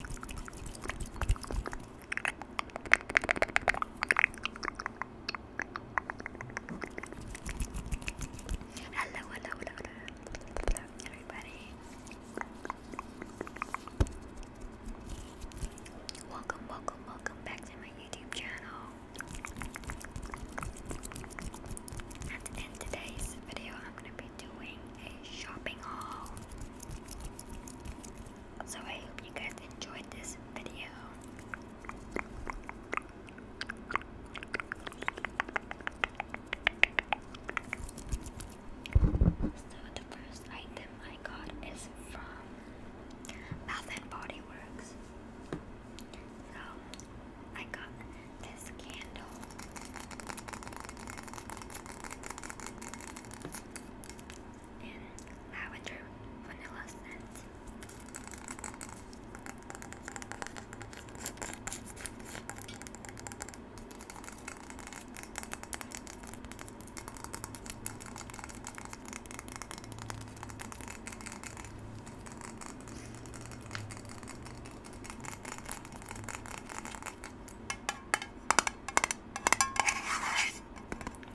Hello, hello, hello, hello, everybody. Welcome, welcome, welcome back to my YouTube channel. in today's video, I'm going to be doing shopping haul. So I hope you guys enjoyed this video. So the first item I got is from Bath and Body Works. So I got this candle and lavender vanilla scent.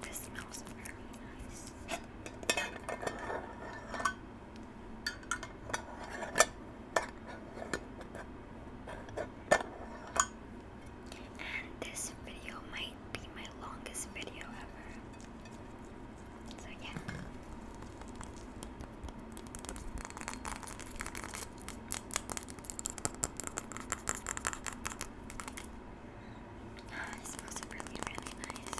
This smells very nice. And this video might be my longest video ever. So, yeah. Ah, it smells really, really nice.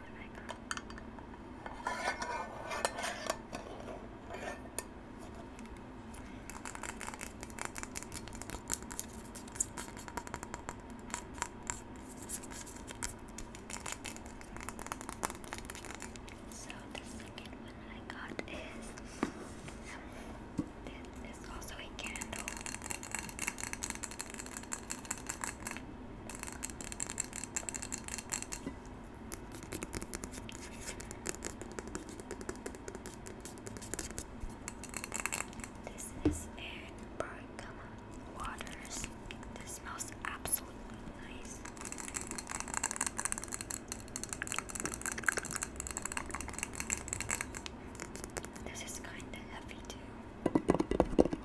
So the second one I got is um, this is also a candle. This is in Bergama This smells absolutely nice. This is kind of heavy too.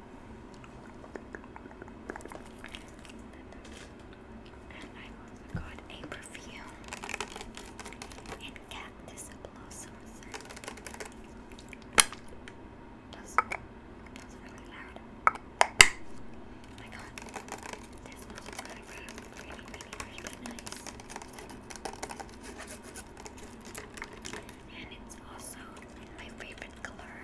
And I also a perfume in cactus blossom scent. That's, that's really loud. Oh my god, this smells really, really, really, really nice. And it's also my favorite color.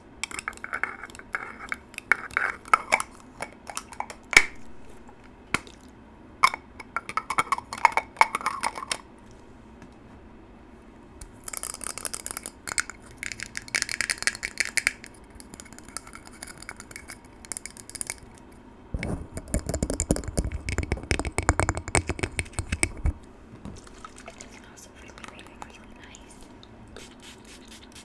It smells really, really, really nice.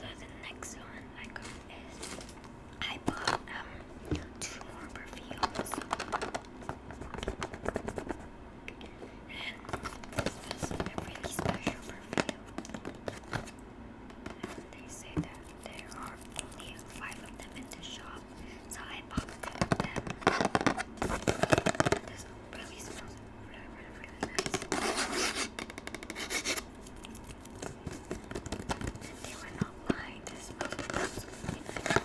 So the next one I got is I bought um two more perfumes. And this is a really special perfume. And they say that there are only five of them in the shop. So I bought two of them. This really smells really really really they were not lined as much as those I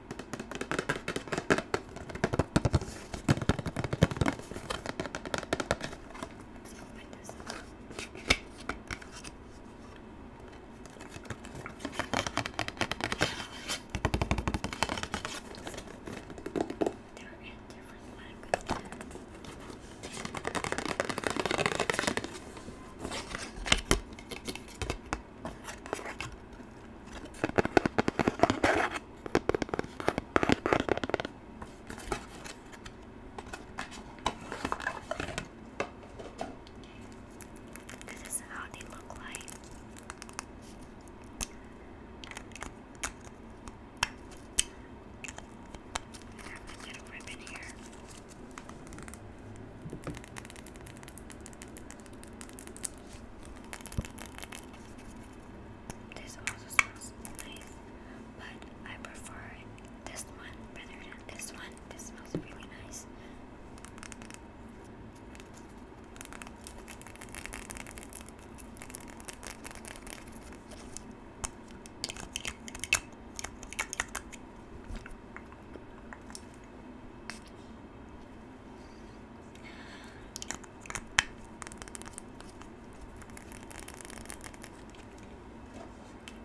they're in different languages. This is how they look like. I have a little ribbon here. This also smells nice, but I prefer this one better than this one. This smells really nice.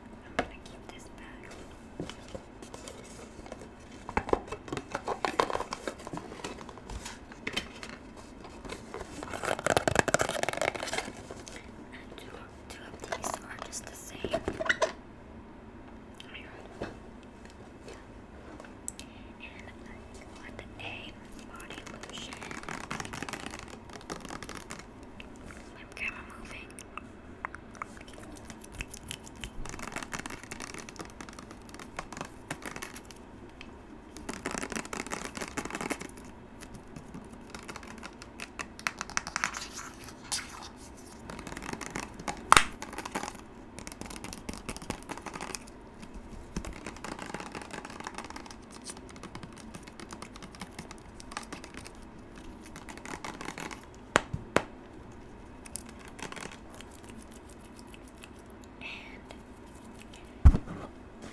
I'm gonna keep this back. And two, two of these are just the same. Oh my God. And I got a body lotion. Is camera moving? And,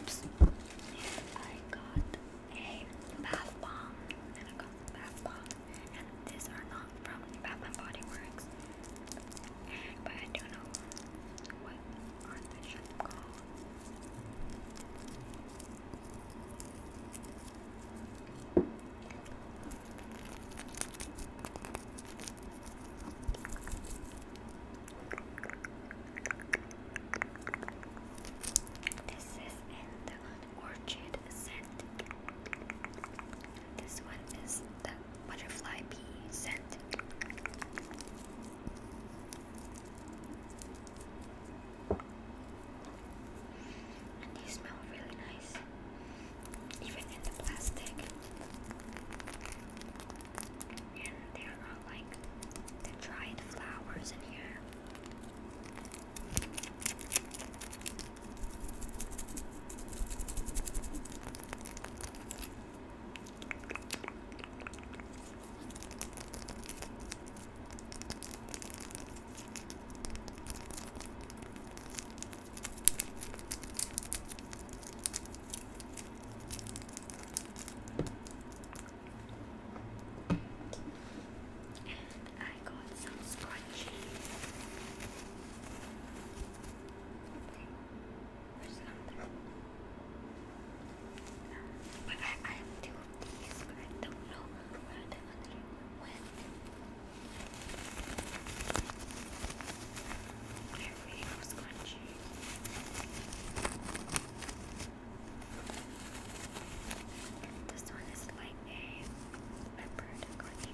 oops, I got a bath bomb, and I got the bath bomb, and these are not from Bath and Body Works but I don't know what on the shop This is in the scent. This one is the butterfly bee scent. And they smell really nice, even in the plastic. And they are like the dried flowers in here. And I got some scrunchies. There's another. But I, have two of these, but I don't know where the other one went. I really was crunchy. This one is like a leopard crunchy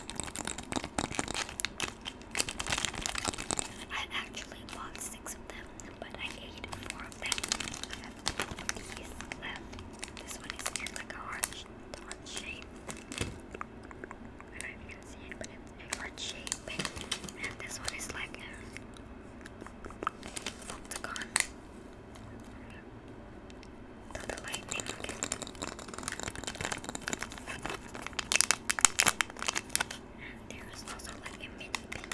I actually bought six of them, but I ate four of them. I have these left. Um, this one is like a heart, shape. I don't know if you can see it, but it's heart shape. And this one is like a octagon to the there is also like a mini pink.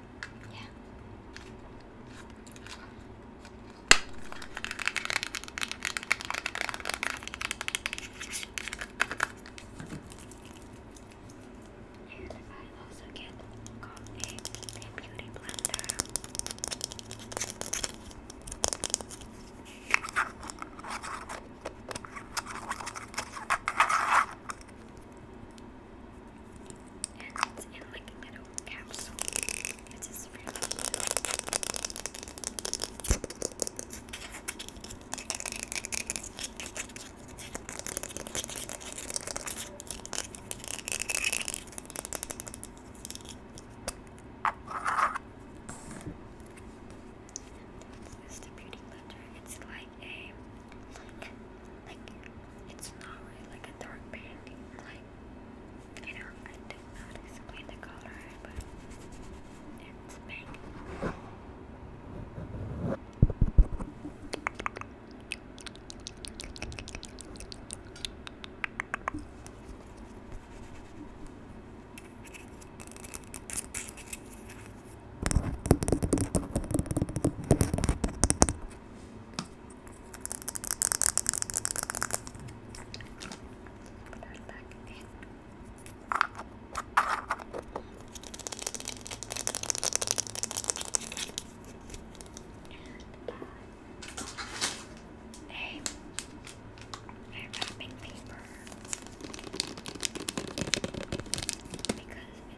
Yeah. And I also get coffee beauty blender it's like a little capsule. It is really this is beauty blender. It's like a like it's not really like a dark pink, like you know, I did not explain the color, but it's pink. Put back in. And a, wrapping paper because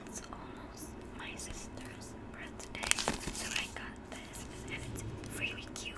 it's almost my sister's birthday, so I got this, and it's really cute.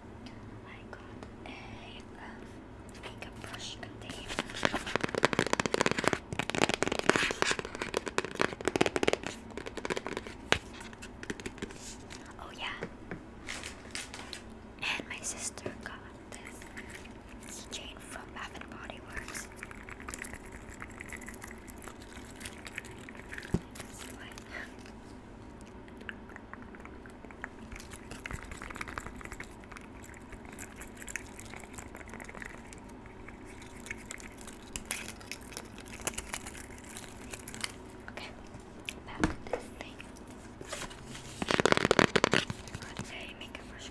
I got a um, makeup brush container. Oh yeah, and my sister got this keychain from Bath and Body Works. Okay, back to this thing. Got a makeup brush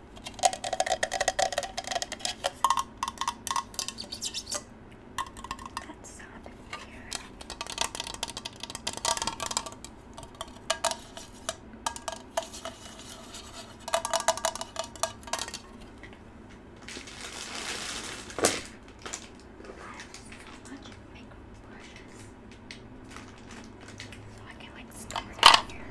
That's sad here. So much makeup brushes. So I can like store them here.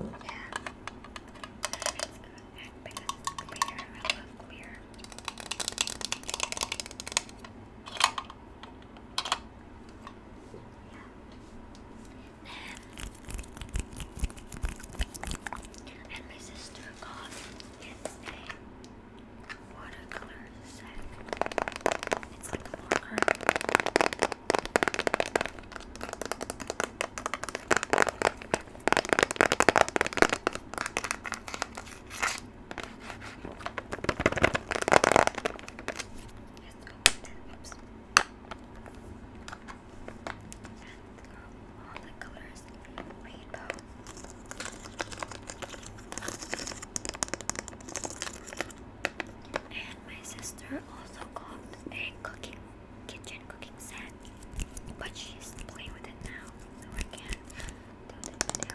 Yeah. It's because it's I love clear. And my sister got yesterday watercolor set. It's like a all the colors rainbow. And my sister are also called a cooking kitchen cooking set, but she's playing with it now, so I can do the video.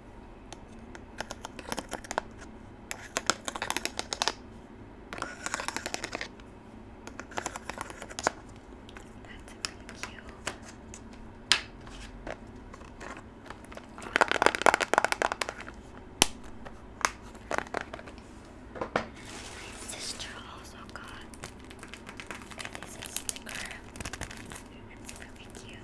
That's really cute. My sister also got this sticker. It's really cute.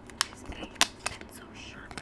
is a pencil sharpener.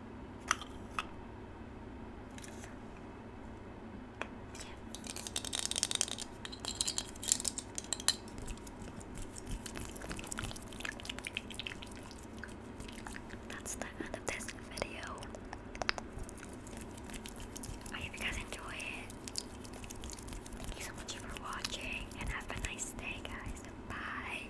That's the end of this video. I hope you guys enjoy it. Thank you so much for watching and have a nice day, guys. Bye.